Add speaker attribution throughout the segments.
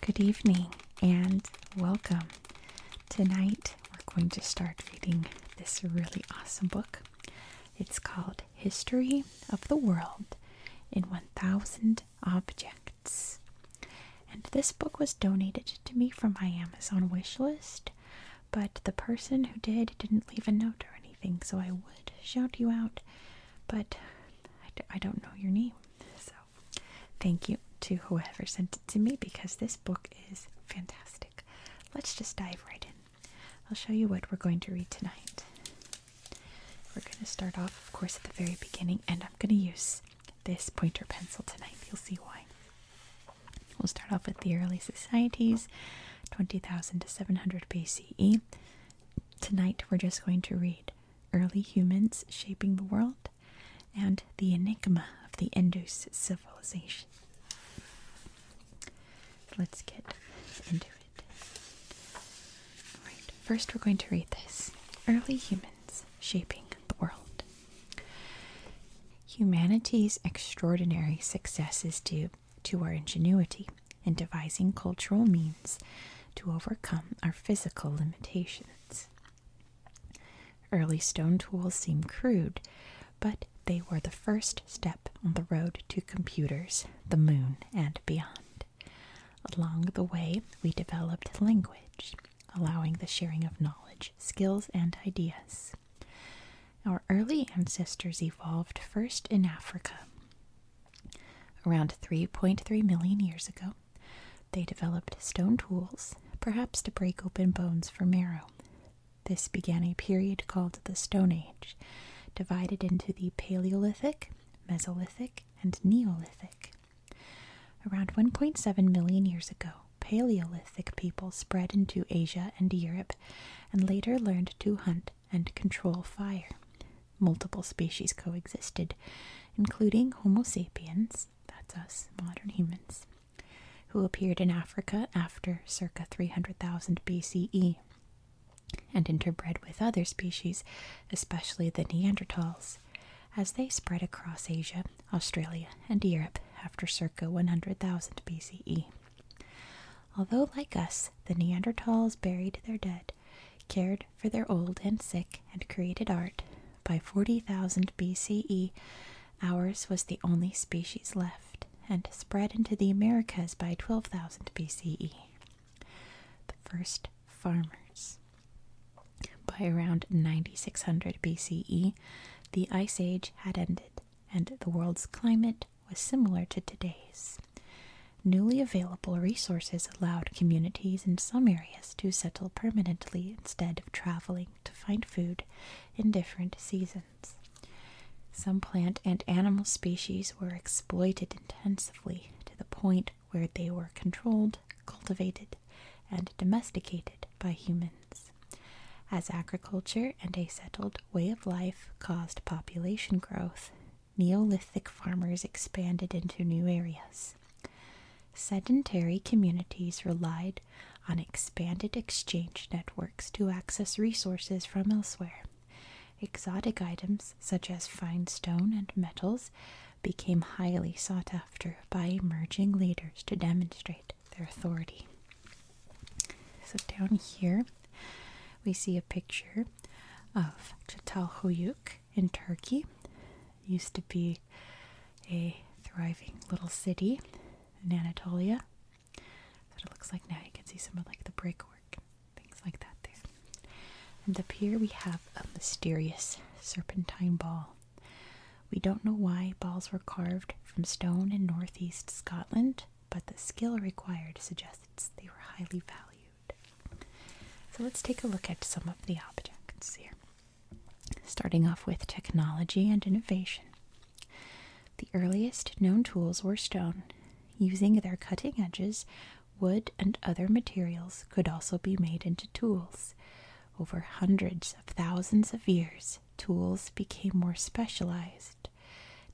Speaker 1: Good evening and welcome. Tonight we're going to start reading this really awesome book. It's called History of the World in 1000 Objects. And this book was donated to me from my Amazon wish list but the person who did didn't leave a note or anything, so I would shout you out, but I d I don't know your name. So thank you to whoever sent it to me because this book is fantastic. Let's just dive right in. I'll show you what we're going to read tonight. We're going to start off, of course, at the very beginning, and I'm going to use this pointer pencil tonight. You'll see why. We'll start off with the early societies, 20,000 to 700 BCE. Tonight we're just going to read Early Humans Shaping the World and The Enigma of the Indus Civilization. let's get into it. Alright, first we're going to read this Early Humans Shaping the World. Humanity's extraordinary success is due to our ingenuity in devising cultural means to overcome our physical limitations. Early stone tools seem crude, but they were the first step on the road to computers, the moon, and beyond. Along the way, we developed language, allowing the sharing of knowledge, skills, and ideas. Our early ancestors evolved first in Africa. Around 3.3 million years ago, they developed stone tools, perhaps to break open bones for marrow. This began a period called the Stone Age, divided into the Paleolithic, Mesolithic, and Neolithic. Around 1.7 million years ago, Paleolithic people spread into Asia and Europe and later learned to hunt and control fire. Multiple species coexisted, including Homo sapiens, that's us, modern humans, who appeared in Africa after circa 300,000 BCE and interbred with other species, especially the Neanderthals as they spread across Asia, Australia, and Europe after circa 100,000 BCE. Although, like us, the Neanderthals buried their dead, cared for their old and sick, and created art, by 40,000 BCE, ours was the only species left and spread into the Americas by 12,000 BCE. The first farmers. By around 9600 BCE, the Ice Age had ended, and the world's climate was similar to today's. Newly available resources allowed communities in some areas to settle permanently instead of traveling to find food in different seasons. Some plant and animal species were exploited intensively to the point where they were controlled, cultivated, and domesticated by humans. As agriculture and a settled way of life caused population growth, Neolithic farmers expanded into new areas. Sedentary communities relied on expanded exchange networks to access resources from elsewhere. Exotic items such as fine stone and metals became highly sought after by emerging leaders to demonstrate their authority. So down here, we see a picture of Çatalhöyük in Turkey. used to be a thriving little city in Anatolia. That's it looks like now. You can see some of like the brickwork, things like that there. And up here we have a mysterious serpentine ball. We don't know why balls were carved from stone in northeast Scotland, but the skill required suggests they were highly valued. So let's take a look at some of the objects here. Starting off with technology and innovation. The earliest known tools were stone. Using their cutting edges, wood and other materials could also be made into tools. Over hundreds of thousands of years, tools became more specialized,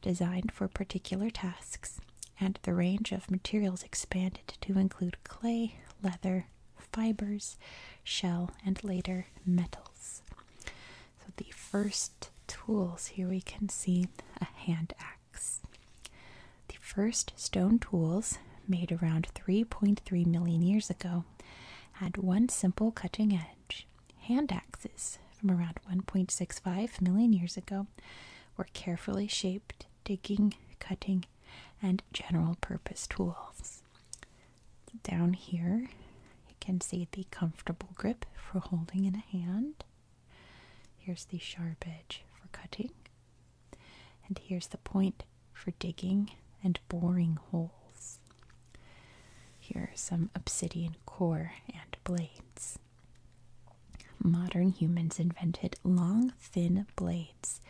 Speaker 1: designed for particular tasks, and the range of materials expanded to include clay, leather, fibers, shell, and later metals. So, the first tools here we can see a hand axe. The first stone tools, made around 3.3 million years ago, had one simple cutting edge. Hand axes from around 1.65 million years ago were carefully shaped digging, cutting, and general purpose tools. Down here, you can see the comfortable grip for holding in a hand. Here's the sharp edge for cutting. And here's the point for digging and boring holes. Here are some obsidian core and blades. Modern humans invented long, thin blades,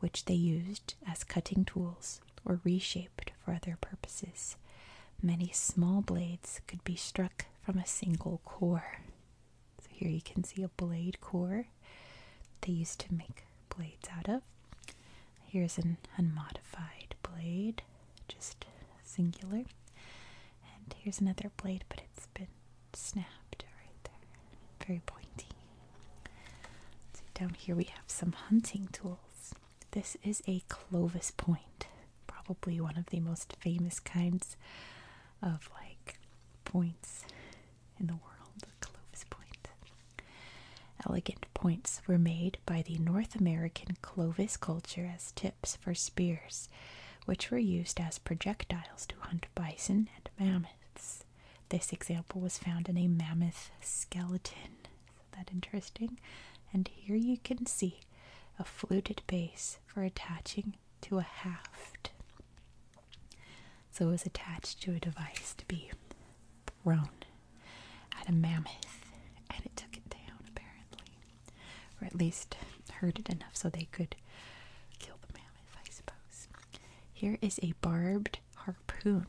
Speaker 1: which they used as cutting tools or reshaped for other purposes. Many small blades could be struck from a single core. So here you can see a blade core they used to make blades out of. Here's an unmodified blade, just singular. And here's another blade, but it's been snapped right there. Very pointy. So down here we have some hunting tools. This is a Clovis point, probably one of the most famous kinds of like points in the world, Clovis point. Elegant points were made by the North American Clovis culture as tips for spears, which were used as projectiles to hunt bison and mammoths. This example was found in a mammoth skeleton. Isn't that interesting? And here you can see a fluted base for attaching to a haft. So it was attached to a device to be thrown at a mammoth, and it took it down, apparently. Or at least hurt it enough so they could kill the mammoth, I suppose. Here is a barbed harpoon.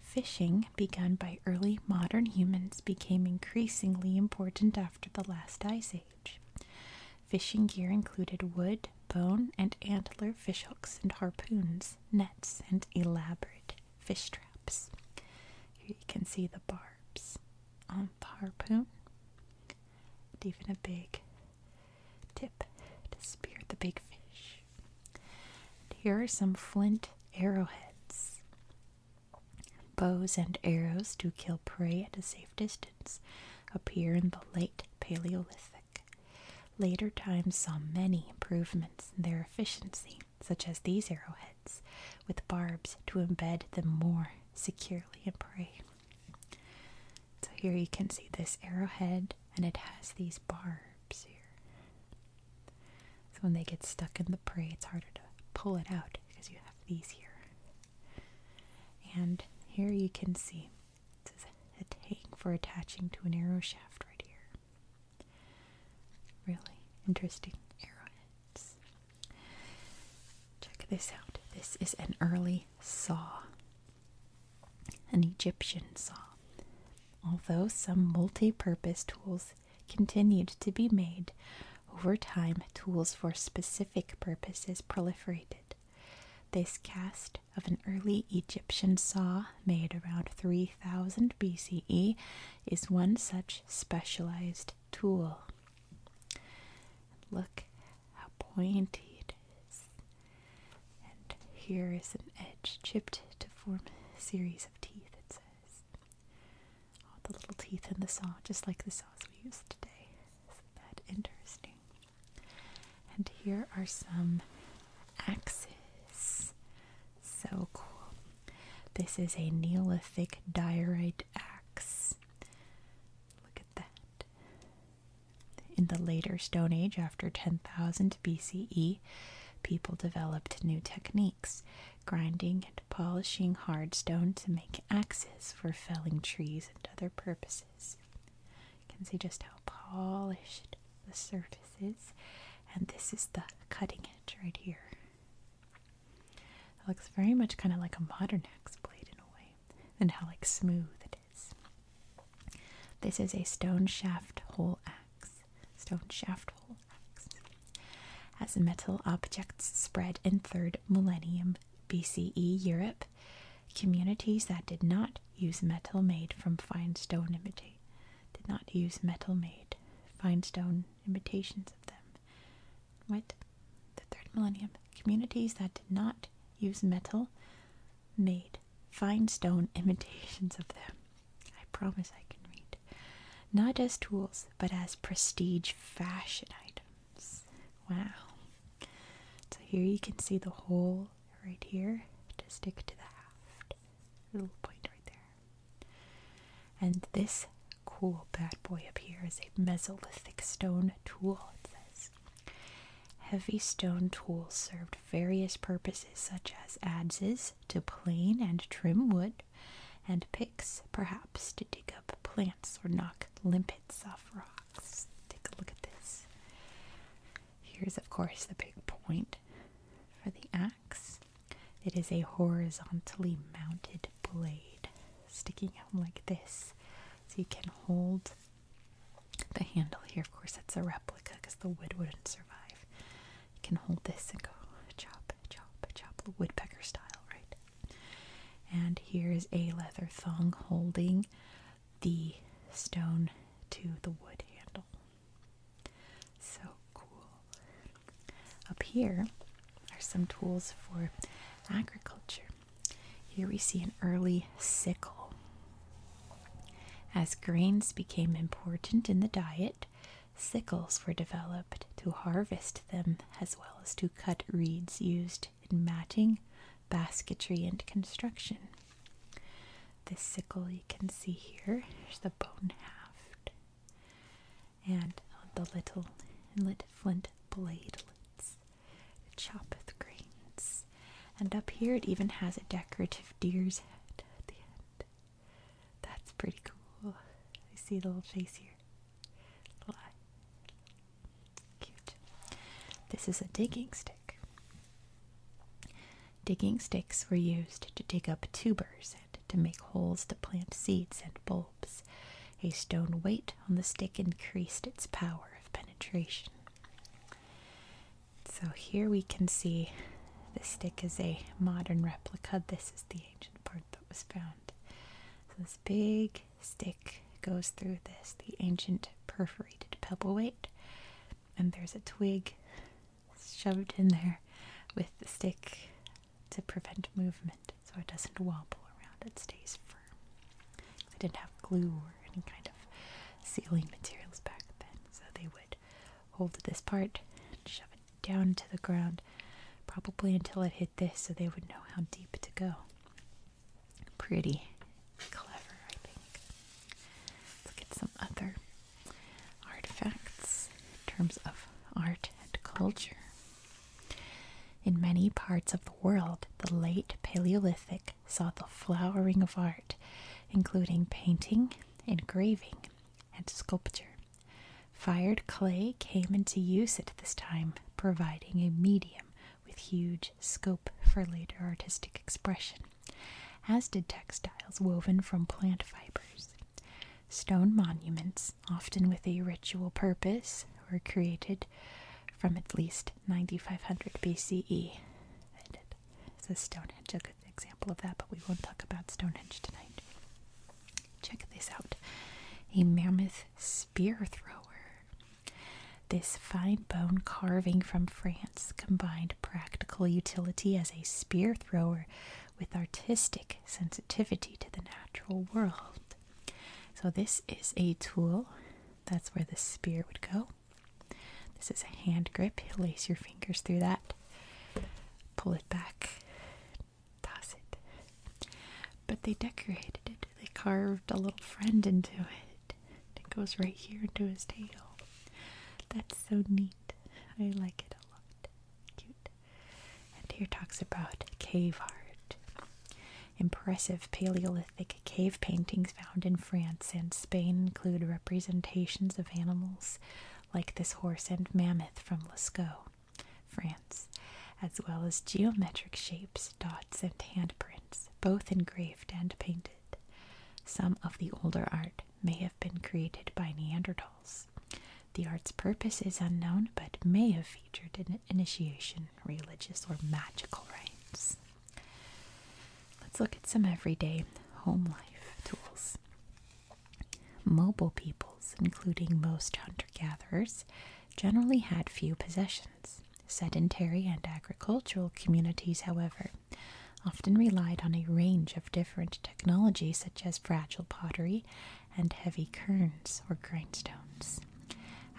Speaker 1: Fishing, begun by early modern humans, became increasingly important after the last ice age. Fishing gear included wood, bone, and antler fishhooks and harpoons, nets, and elaborate fish traps. Here you can see the barbs on the harpoon, and even a big tip to spear the big fish. And here are some flint arrowheads. Bows and arrows to kill prey at a safe distance appear in the late Paleolithic. Later times saw many improvements in their efficiency, such as these arrowheads, with barbs to embed them more securely in prey. So here you can see this arrowhead, and it has these barbs here. So when they get stuck in the prey, it's harder to pull it out because you have these here. And here you can see this is a tang for attaching to an arrow shaft right here. Really interesting arrowheads. Check this out. This is an early saw, an Egyptian saw. Although some multi purpose tools continued to be made, over time tools for specific purposes proliferated. This cast of an early Egyptian saw made around 3000 BCE is one such specialized tool. Look how pointed! it is. And here is an edge chipped to form a series of teeth, it says. All the little teeth in the saw, just like the saws we use today. Isn't that interesting? And here are some axes. So cool. This is a Neolithic diorite axe. Look at that. In the later Stone Age, after 10,000 BCE, people developed new techniques, grinding and polishing hard stone to make axes for felling trees and other purposes. You can see just how polished the surfaces and this is the cutting edge right here. It looks very much kind of like a modern axe blade in a way and how like smooth it is. This is a stone shaft hole axe. Stone shaft hole axe. As metal objects spread in 3rd millennium BCE Europe, communities that did not use metal made from fine stone imitate did not use metal made fine stone imitations of them. What? The third millennium. Communities that did not use metal made fine stone imitations of them. I promise I can read. Not as tools, but as prestige fashion items. Wow. So here you can see the whole right here to stick to the haft. little point right there. And this cool bad boy up here is a mesolithic stone tool, it says. Heavy stone tools served various purposes such as adzes to plane and trim wood, and picks perhaps to dig up plants or knock limpets off rocks. Take a look at this. Here's, of course, the big point for the axe it is a horizontally mounted blade sticking out like this. So you can hold the handle here. Of course, it's a replica because the wood wouldn't survive. You can hold this and go chop, chop, chop, woodpecker style, right? And here's a leather thong holding the stone to the wood handle. So cool. Up here are some tools for agriculture. Here we see an early sickle. As grains became important in the diet, sickles were developed to harvest them as well as to cut reeds used in matting, basketry, and construction. This sickle you can see here, there's the bone haft and the little flint bladelets to chop the grains. And up here it even has a decorative deer's head at the end. That's pretty cool. You see the little face here. Little Cute. This is a digging stick. Digging sticks were used to dig up tubers and to make holes to plant seeds and bulbs. A stone weight on the stick increased its power of penetration. So here we can see the stick is a modern replica. This is the ancient part that was found. So this big stick goes through this, the ancient perforated pebble weight, and there's a twig shoved in there with the stick to prevent movement so it doesn't wobble around, it stays firm. They didn't have glue or any kind of sealing materials back then, so they would hold this part shove it down to the ground, probably until it hit this, so they would know how deep to go. Pretty clever, I think. Let's get some other artifacts in terms of art and culture. In many parts of the world, the late Paleolithic saw the flowering of art, including painting, engraving, and sculpture. Fired clay came into use at this time, providing a medium with huge scope for later artistic expression, as did textiles woven from plant fibers. Stone monuments, often with a ritual purpose, were created from at least 9500 BCE. So Stonehenge, a good example of that, but we won't talk about Stonehenge tonight. Check this out. A mammoth spear thrower. This fine bone carving from France combined practical utility as a spear thrower with artistic sensitivity to the natural world. So, this is a tool. That's where the spear would go. This is a hand grip. You lace your fingers through that, pull it back, toss it. But they decorated it, they carved a little friend into it. It goes right here into his tail. That's so neat. I like it a lot. Cute. And here talks about cave art. Impressive Paleolithic cave paintings found in France and Spain include representations of animals like this horse and mammoth from Lascaux, France, as well as geometric shapes, dots, and handprints both engraved and painted. Some of the older art may have been created by Neanderthals. The art's purpose is unknown, but may have featured initiation, religious, or magical rites. Let's look at some everyday home life tools. Mobile peoples, including most hunter gatherers, generally had few possessions. Sedentary and agricultural communities, however, often relied on a range of different technologies such as fragile pottery and heavy kerns or grindstones.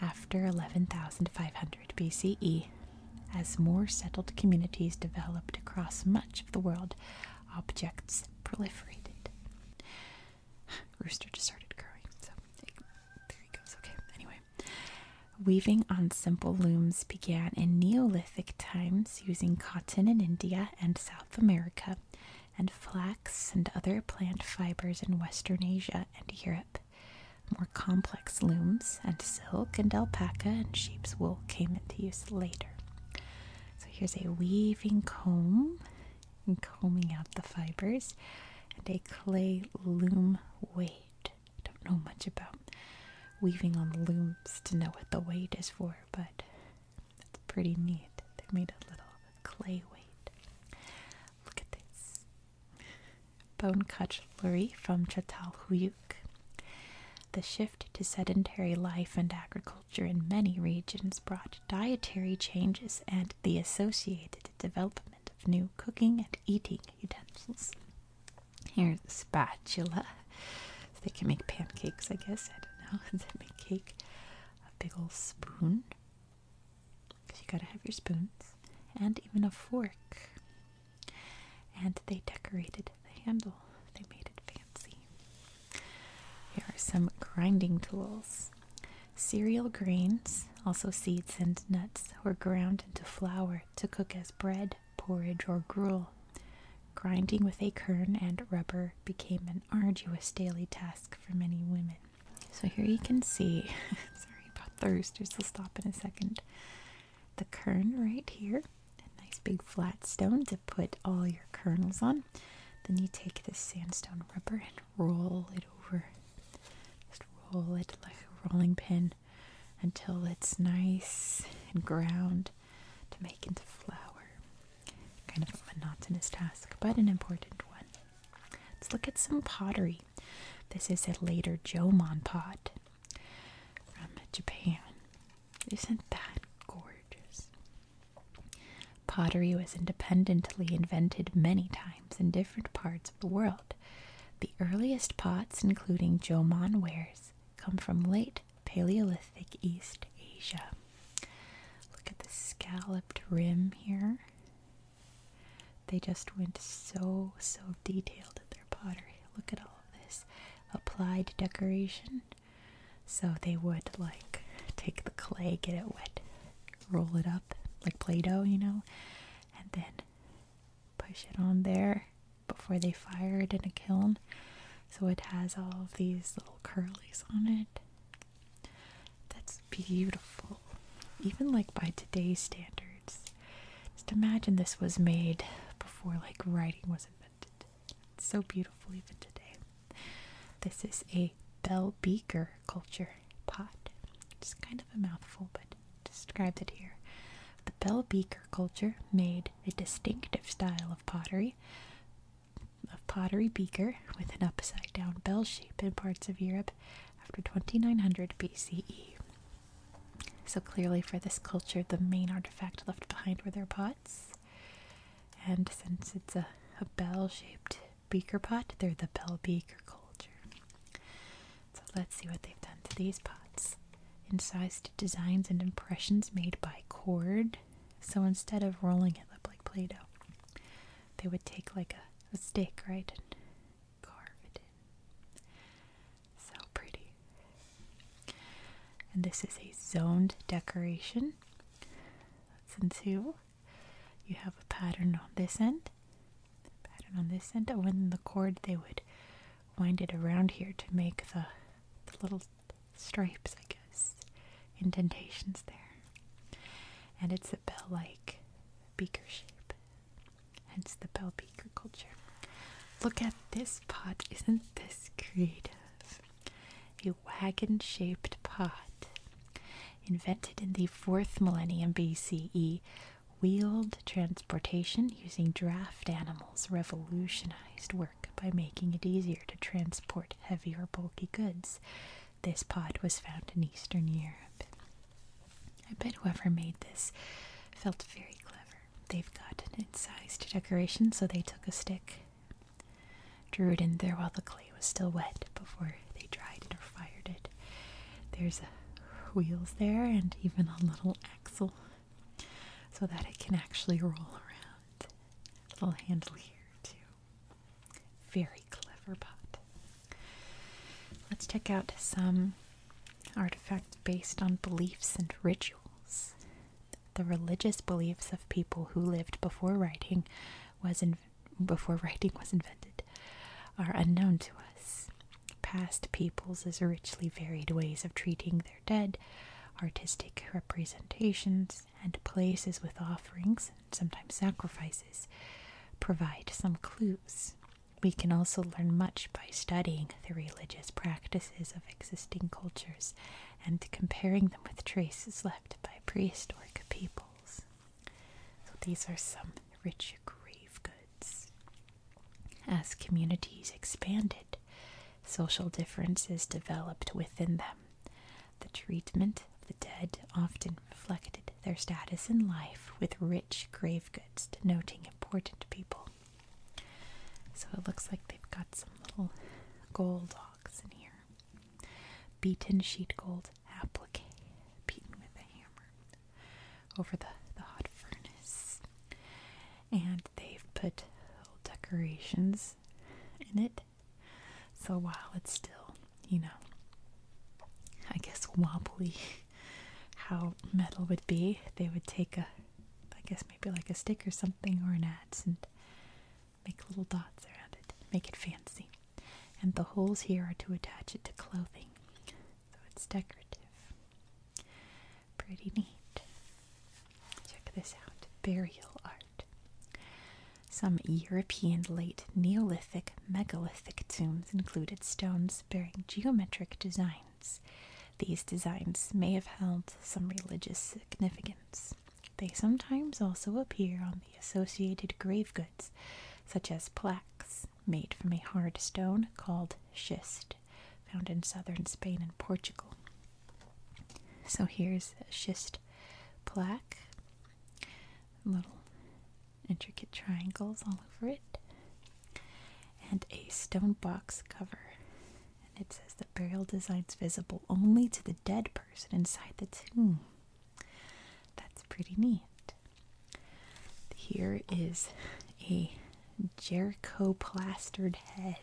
Speaker 1: After 11,500 BCE, as more settled communities developed across much of the world, objects proliferated. Rooster just started crowing, so there he goes. Okay, anyway. Weaving on simple looms began in Neolithic times using cotton in India and South America, and flax and other plant fibers in Western Asia and Europe. More complex looms and silk and alpaca and sheep's wool came into use later. So here's a weaving comb and combing out the fibers, and a clay loom weight. I don't know much about weaving on looms to know what the weight is for, but it's pretty neat. They made a little clay weight. Look at this bone cutlery from Çatalhöyük. The shift to sedentary life and agriculture in many regions brought dietary changes and the associated development of new cooking and eating utensils. Here's a spatula. they can make pancakes, I guess. I don't know. They make cake? A big old spoon. Because you gotta have your spoons. And even a fork. And they decorated the handle. They made it fancy. Here are some grinding tools. Cereal grains, also seeds and nuts, were ground into flour to cook as bread porridge, or gruel. Grinding with a kern and rubber became an arduous daily task for many women. So here you can see, sorry about thirsters, we'll stop in a second. The kern right here, a nice big flat stone to put all your kernels on. Then you take this sandstone rubber and roll it over. Just roll it like a rolling pin until it's nice and ground to make into flour. Kind of a monotonous task, but an important one. Let's look at some pottery. This is a later Jomon pot from Japan. Isn't that gorgeous? Pottery was independently invented many times in different parts of the world. The earliest pots, including Jomon wares, come from late Paleolithic East Asia. Look at the scalloped rim here. They just went so, so detailed at their pottery. Look at all of this applied decoration. So they would like take the clay, get it wet, roll it up like Play Doh, you know, and then push it on there before they fired in a kiln. So it has all of these little curlies on it. That's beautiful. Even like by today's standards. Just imagine this was made before like writing was invented. It's so beautiful even today. This is a bell beaker culture pot. It's kind of a mouthful, but Described it here. The Bell Beaker culture made a distinctive style of pottery, of pottery beaker with an upside down bell shape in parts of Europe after 2900 BCE. So clearly, for this culture, the main artifact left behind were their pots. And since it's a, a bell shaped beaker pot, they're the bell beaker culture. So let's see what they've done to these pots. Incised designs and impressions made by cord. So instead of rolling it up like Play Doh, they would take like a, stick, right, and carve it in. So pretty. And this is a zoned decoration. That's in two. You have a pattern on this end pattern on this end. Oh, and the cord they would wind it around here to make the little stripes, I guess, indentations there. And it's a bell like beaker shape, hence the bell beaker culture. Look at this pot. Isn't this creative? A wagon shaped pot invented in the 4th millennium BCE Wheeled transportation using draft animals revolutionized work by making it easier to transport heavier, bulky goods. This pod was found in Eastern Europe. I bet whoever made this felt very clever. They've got an incised decoration, so they took a stick, drew it in there while the clay was still wet before they dried it or fired it. There's wheels there and even a little axle so that it can actually roll around. Little handle here too. Very clever pot. Let's check out some artifacts based on beliefs and rituals. The religious beliefs of people who lived before writing was before writing was invented are unknown to us. Past peoples as richly varied ways of treating their dead, artistic representations, and places with offerings, and sometimes sacrifices, provide some clues. We can also learn much by studying the religious practices of existing cultures and comparing them with traces left by prehistoric peoples. these are some rich grave goods. As communities expanded, social differences developed within them. The treatment of the dead often reflected their status in life, with rich grave goods denoting important people. So it looks like they've got some little gold locks in here. Beaten sheet gold applique, beaten with a hammer over the, the hot furnace. And they've put little decorations in it. So while it's still, you know, I guess wobbly how metal would be, they would take a, I guess maybe like a stick or something or an ads and make little dots around it, make it fancy. And the holes here are to attach it to clothing. So it's decorative. Pretty neat. Check this out burial art. Some European late Neolithic megalithic tombs included stones bearing geometric designs. These designs may have held some religious significance. They sometimes also appear on the associated grave goods, such as plaques, made from a hard stone called schist, found in southern Spain and Portugal. So here's a schist plaque, little intricate triangles all over it, and a stone box cover. And it says the burial design's visible only to the dead person inside the tomb. That's pretty neat. Here is a Jericho plastered head.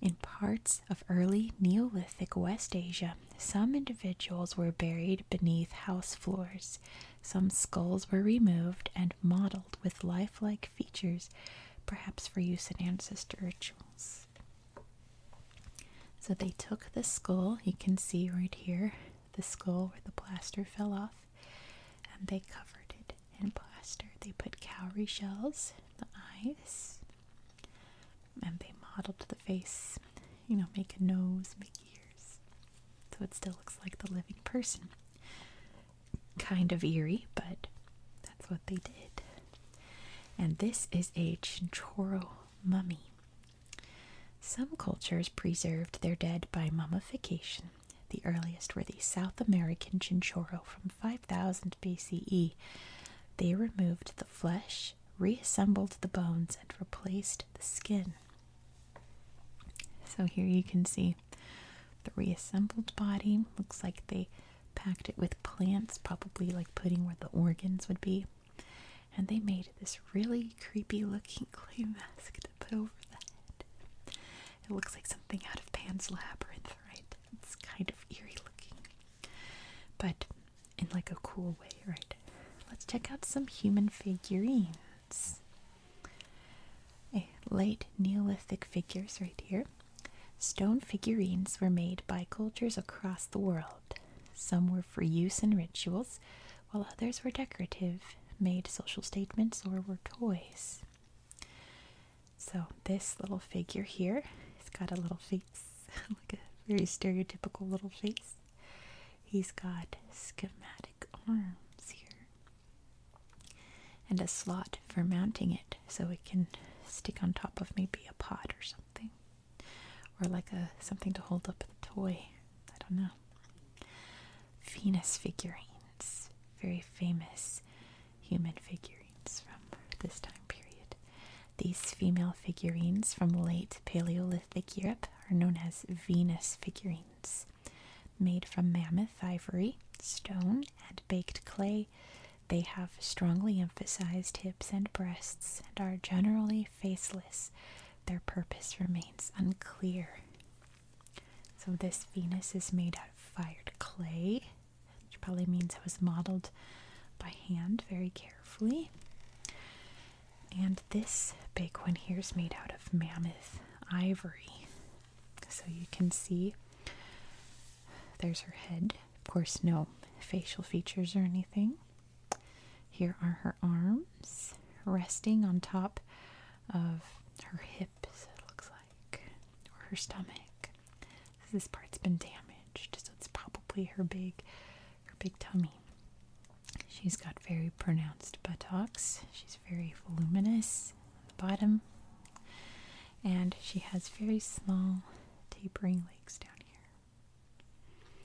Speaker 1: In parts of early Neolithic West Asia, some individuals were buried beneath house floors. Some skulls were removed and modeled with lifelike features, perhaps for use in ancestor rituals. So they took the skull, you can see right here the skull where the plaster fell off, and they covered it in plaster. They put cowrie shells in the eyes, and they modeled the face. You know, make a nose, make ears, so it still looks like the living person. Kind of eerie, but that's what they did. And this is a Chinchorro mummy. Some cultures preserved their dead by mummification. The earliest were the South American Chinchero from 5000 BCE. They removed the flesh, reassembled the bones, and replaced the skin. So here you can see the reassembled body. Looks like they packed it with plants, probably like putting where the organs would be. And they made this really creepy looking clay mask it looks like something out of Pan's Labyrinth, right? It's kind of eerie looking, but in like a cool way, right? Let's check out some human figurines. A late Neolithic figures right here. Stone figurines were made by cultures across the world. Some were for use in rituals, while others were decorative, made social statements, or were toys. So, this little figure here, he's got a little face, like a very stereotypical little face. He's got schematic arms here and a slot for mounting it so it can stick on top of maybe a pot or something or like a something to hold up the toy. I don't know. Venus figurines, very famous human figurines from this time period. These female figurines from late Paleolithic Europe are known as Venus figurines, made from mammoth ivory, stone, and baked clay. They have strongly emphasized hips and breasts and are generally faceless. Their purpose remains unclear. So this Venus is made out of fired clay, which probably means it was modeled by hand very carefully. And this big one here is made out of mammoth ivory. So you can see there's her head. Of course, no facial features or anything. Here are her arms resting on top of her hips, it looks like, or her stomach. This part's been damaged, so it's probably her big, her big tummy. She's got very pronounced buttocks. She's very voluminous on the bottom, and she has very small, tapering legs down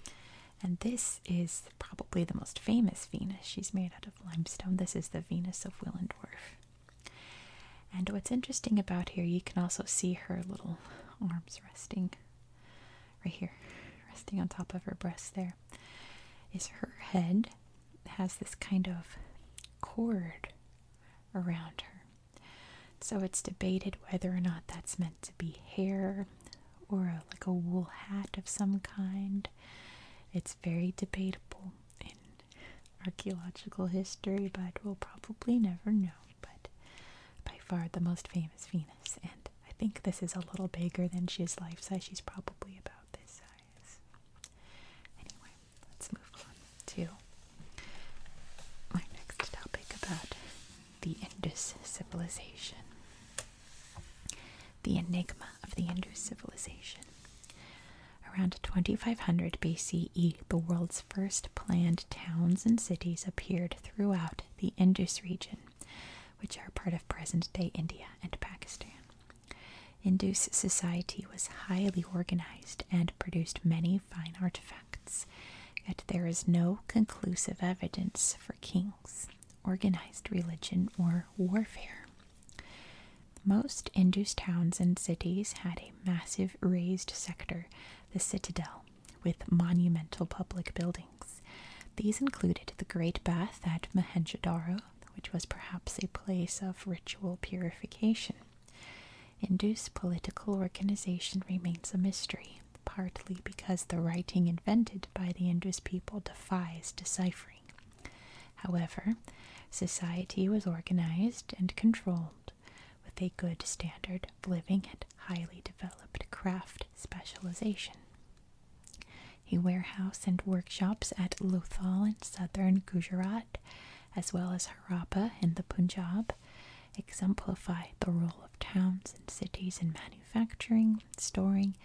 Speaker 1: here. And this is probably the most famous Venus. She's made out of limestone. This is the Venus of Willendorf. And what's interesting about here, you can also see her little arms resting right here, resting on top of her breast there, is her head has this kind of cord around her. So it's debated whether or not that's meant to be hair, or like a wool hat of some kind. It's very debatable in archaeological history, but we'll probably never know. But by far the most famous Venus, and I think this is a little bigger than she is life size. She's probably about this size. Anyway, let's move on to my next topic about the Indus civilization. The Enigma of the Indus Civilization. Around 2500 BCE, the world's first planned towns and cities appeared throughout the Indus region, which are part of present day India and Pakistan. Indus society was highly organized and produced many fine artifacts, yet there is no conclusive evidence for kings organized religion or warfare. Most Indus towns and cities had a massive raised sector, the citadel, with monumental public buildings. These included the Great Bath at mohenjo which was perhaps a place of ritual purification. Indus political organization remains a mystery, partly because the writing invented by the Indus people defies deciphering. However, society was organized and controlled with a good standard of living and highly developed craft specialization. A warehouse and workshops at Lothal in southern Gujarat, as well as Harappa in the Punjab, exemplify the role of towns and cities in manufacturing, storing,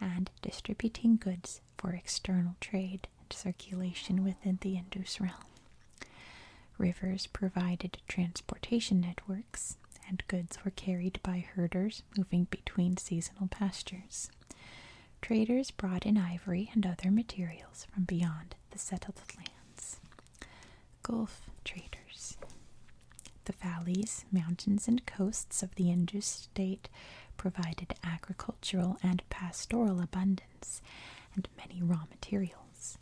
Speaker 1: and distributing goods for external trade and circulation within the Indus realm. Rivers provided transportation networks, and goods were carried by herders moving between seasonal pastures. Traders brought in ivory and other materials from beyond the settled lands. Gulf traders. The valleys, mountains, and coasts of the Indus state provided agricultural and pastoral abundance and many raw materials.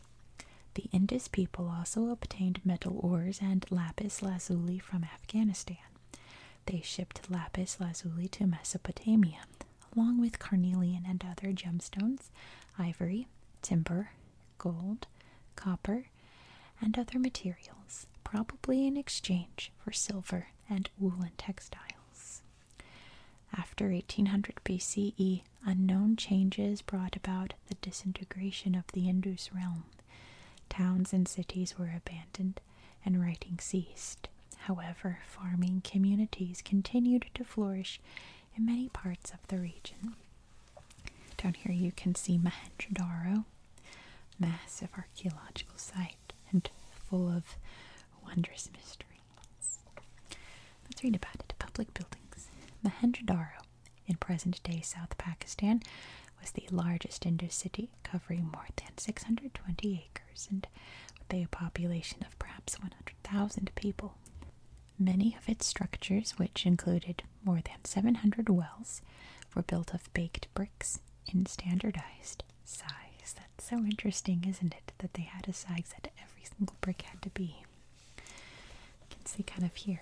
Speaker 1: The Indus people also obtained metal ores and lapis lazuli from Afghanistan. They shipped lapis lazuli to Mesopotamia, along with carnelian and other gemstones, ivory, timber, gold, copper, and other materials, probably in exchange for silver and woolen textiles. After 1800 BCE, unknown changes brought about the disintegration of the Indus realm. Towns and cities were abandoned and writing ceased. However, farming communities continued to flourish in many parts of the region. Down here you can see mohenjo massive archaeological site and full of wondrous mysteries. Let's read about it. Public buildings. Mohenjo-daro in present-day South Pakistan was the largest Indus city, covering more than 620 acres and with a population of perhaps 100,000 people. Many of its structures, which included more than 700 wells, were built of baked bricks in standardized size. That's so interesting, isn't it? That they had a size that every single brick had to be. You can see kind of here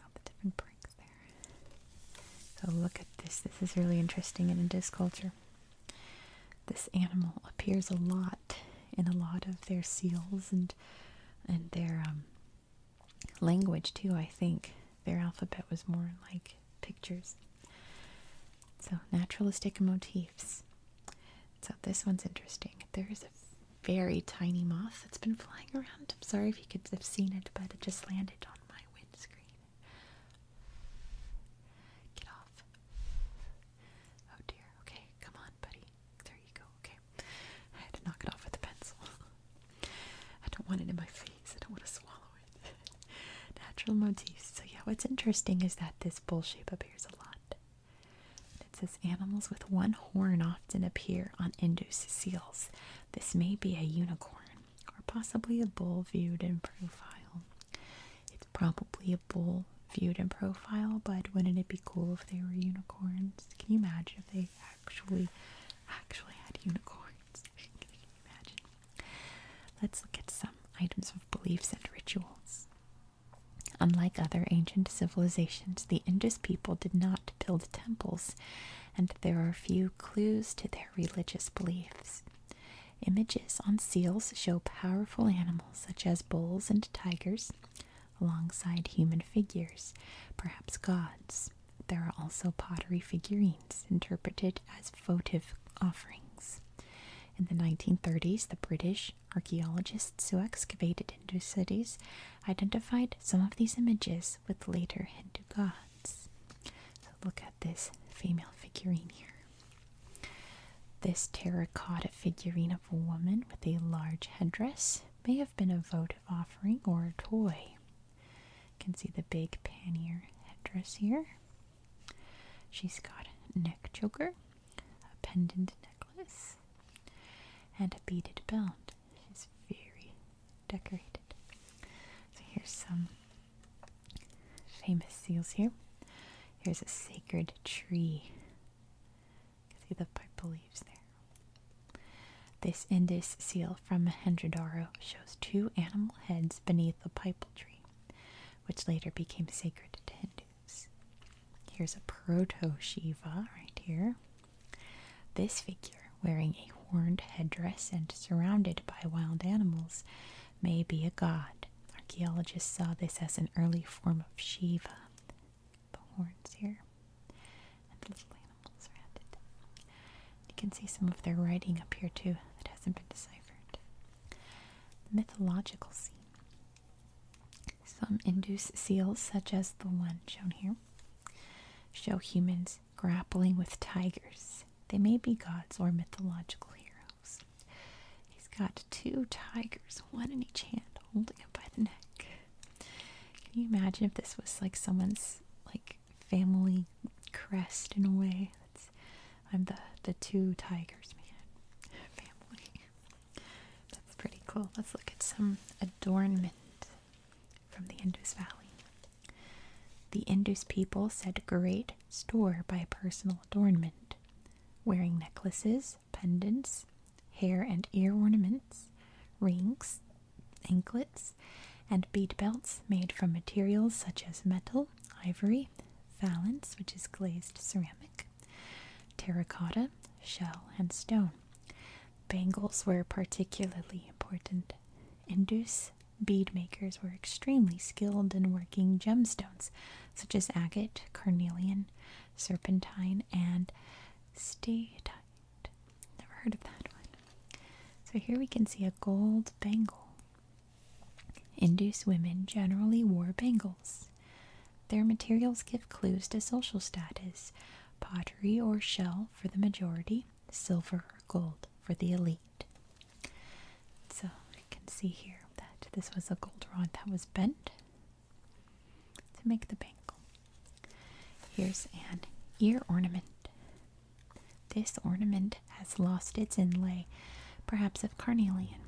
Speaker 1: all the different bricks there. So look at this. This is really interesting in Indus culture. This animal appears a lot in a lot of their seals and and their um, language too, I think. Their alphabet was more like pictures. So, naturalistic motifs. So, this one's interesting. There is a very tiny moth that's been flying around. I'm sorry if you could have seen it, but it just landed on my windscreen. Get off. Oh dear. Okay, come on, buddy. There you go. Okay. I had to knock it off with a pencil. I don't want it in my face. I don't want to swallow it. Natural motifs. So yeah, what's interesting is that this bull shape appears a lot. It says animals with one horn often appear on Indus seals. This may be a unicorn or possibly a bull viewed in profile. It's probably a bull viewed in profile, but wouldn't it be cool if they were unicorns? Can you imagine if they actually actually had unicorns. imagine? Let's look at some items of beliefs and rituals. Unlike other ancient civilizations, the Indus people did not build temples, and there are few clues to their religious beliefs. Images on seals show powerful animals such as bulls and tigers alongside human figures, perhaps gods. There are also pottery figurines interpreted as votive offerings. In the 1930s, the British archaeologists who excavated Hindu cities identified some of these images with later Hindu gods. look at this female figurine here. This terracotta figurine of a woman with a large headdress may have been a votive offering or a toy. You can see the big pannier headdress here. She's got a neck choker, a pendant necklace, and a beaded belt. She's very decorated. So here's some famous seals here. Here's a sacred tree. You can see the purple leaves there. This Indus seal from mohenjo shows two animal heads beneath a pipal tree, which later became sacred to Hindus. Here's a proto-Shiva right here. This figure, wearing a horned headdress and surrounded by wild animals, may be a god. Archaeologists saw this as an early form of Shiva. The horns here the little animals around it. You can see some of their writing up here too that hasn't been deciphered. mythological scene. Some Indus seals, such as the one shown here, show humans grappling with tigers. They may be gods or mythological heroes. He's got two tigers, one in each hand, holding him by the neck. Can you imagine if this was like someone's like family crest in a way. I'm the the two tigers man family. That's pretty cool. Let's look at some adornment from the Indus Valley. The Indus people said great store by personal adornment, wearing necklaces, pendants, hair and ear ornaments, rings, anklets, and bead belts made from materials such as metal, ivory, faience which is glazed ceramic, terracotta, shell, and stone. Bangles were particularly important. Indus bead makers were extremely skilled in working gemstones such as agate, carnelian, serpentine, and statite. Never heard of that one. So here we can see a gold bangle. Indus women generally wore bangles. Their materials give clues to social status pottery or shell for the majority, silver or gold for the elite. So you can see here that this was a gold rod that was bent to make the bangle. Here's an ear ornament. This ornament has lost its inlay, perhaps of carnelian.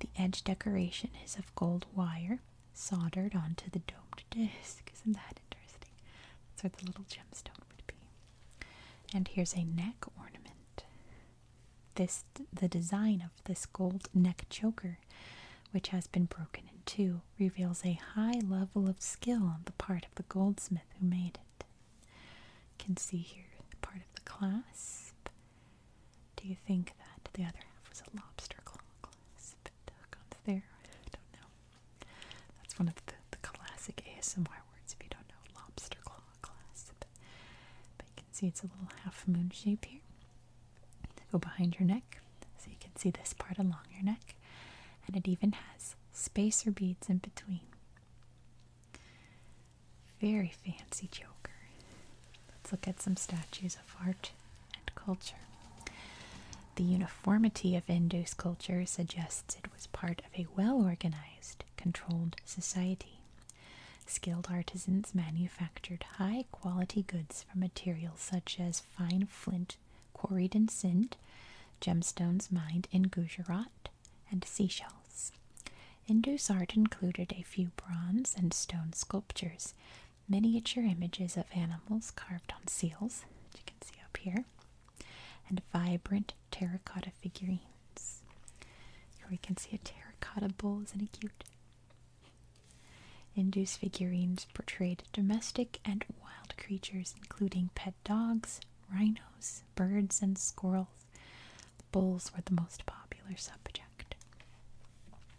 Speaker 1: The edge decoration is of gold wire soldered onto the domed disc. Isn't that interesting? That's where the little gemstone would be. And here's a neck ornament. This the design of this gold neck choker, which has been broken in two, reveals a high level of skill on the part of the goldsmith who made it. You can see here the part of the clasp. Do you think that the other half was a lobster claw clasp? there? I don't know. That's one of the, classic ASMR words if you don't know lobster claw clasp. But you can see it's a little half moon shape here. go behind your neck, so you can see this part along your neck, and it even has spacer beads in between. Very fancy choker. Let's look at some statues of art and culture. The uniformity of Indus culture suggests it was part of a well organized, controlled society. Skilled artisans manufactured high quality goods from materials such as fine flint quarried in Sindh, gemstones mined in Gujarat, and seashells. Indus art included a few bronze and stone sculptures, miniature images of animals carved on seals, as you can see up here, and vibrant terracotta figurines. Here we can see a terracotta bull isn't it cute? figurines portrayed domestic and wild creatures, including pet dogs, rhinos, birds, and squirrels. Bulls were the most popular subject.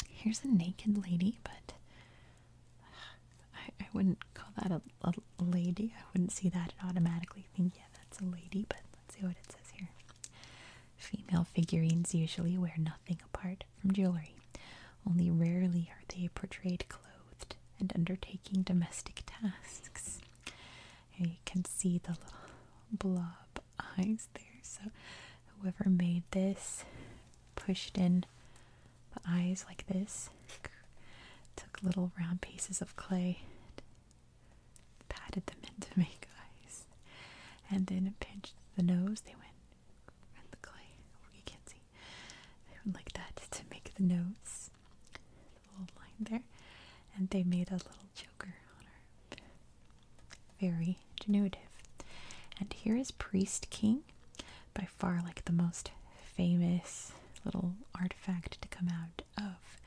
Speaker 1: Here's a naked lady, but I, wouldn't call that a lady. I wouldn't see that and automatically think, yeah, that's a lady, but let's see what it says here. Female figurines usually wear nothing apart from jewelry. Only rarely are they portrayed clothed and undertaking domestic tasks. And you can see the little blob eyes there. So, whoever made this pushed in the eyes like this, took little round pieces of clay, patted them in to make eyes, and then pinched the nose. They went and the clay. you can't see. I would like that to make the notes. The little line there. And they made a little joker on her. Very ingenuitive. And here is Priest King. By far like the most famous little artifact to come out of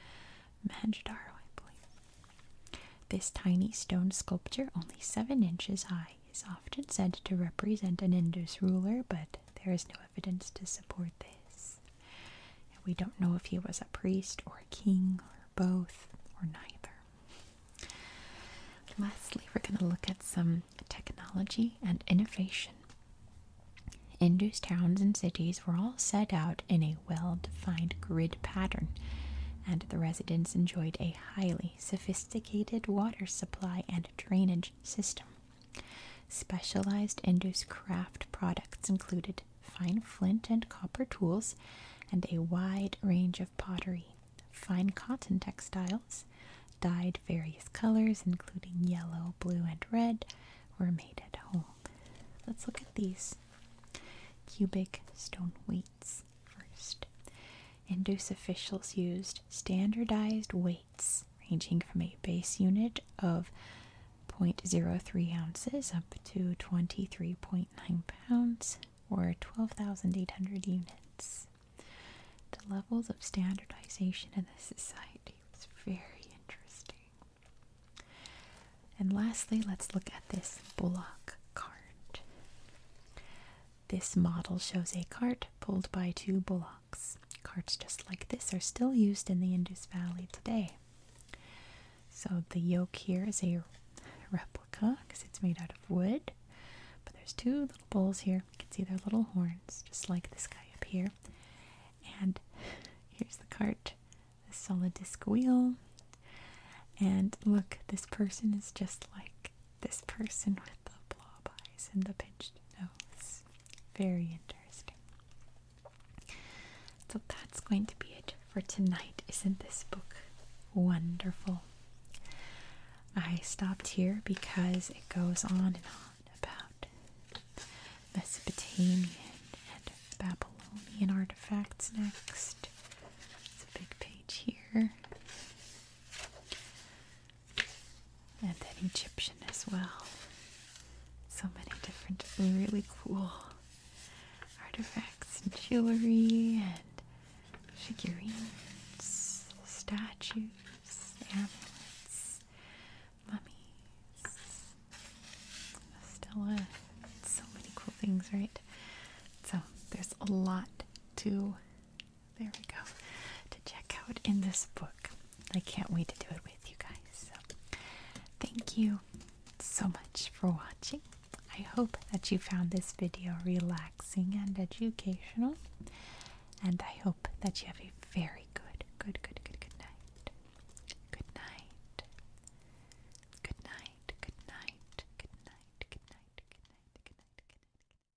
Speaker 1: Manjadaro, I believe. This tiny stone sculpture, only seven inches high, is often said to represent an Indus ruler, but there is no evidence to support this. We don't know if he was a priest or a king or both or neither. Lastly, we're going to look at some technology and innovation. Indus towns and cities were all set out in a well defined grid pattern, and the residents enjoyed a highly sophisticated water supply and drainage system. Specialized Indus craft products included fine flint and copper tools and a wide range of pottery, fine cotton textiles, dyed various colors including yellow, blue, and red, were made at home. Let's look at these cubic stone weights first. Indus officials used standardized weights ranging from a base unit of 0.03 ounces up to 23.9 pounds, or 12,800 units. The levels of standardization in the society was very interesting. And lastly, let's look at this bullock cart. This model shows a cart pulled by two bullocks. Carts just like this are still used in the Indus Valley today. So the yoke here is a replica because it's made out of wood. But there's two little bulls here. You can see their little horns, just like this guy up here. And here's the cart, the solid disc wheel. And look, this person is just like this person the blob eyes and the pinched nose. Very interesting. So that's going to be it for tonight. Isn't this book wonderful? I stopped here because it goes on and on about Mesopotamian and Babylonian artifacts next. It's a big page here and then Egyptian as well. So many different really cool artifacts and jewelry and figurines, statues, amulets, mummies, Stella. So many cool things, right? So there's a lot to there we go. To check out in this book. I can't wait to do it with you guys. So, thank you so much for watching. I hope that you found this video relaxing and educational. And I hope that you have a very good, good, good, good, good night. Good night. Good night. Good night. Good night. Good night. Good night. Good night. Good night. Good night.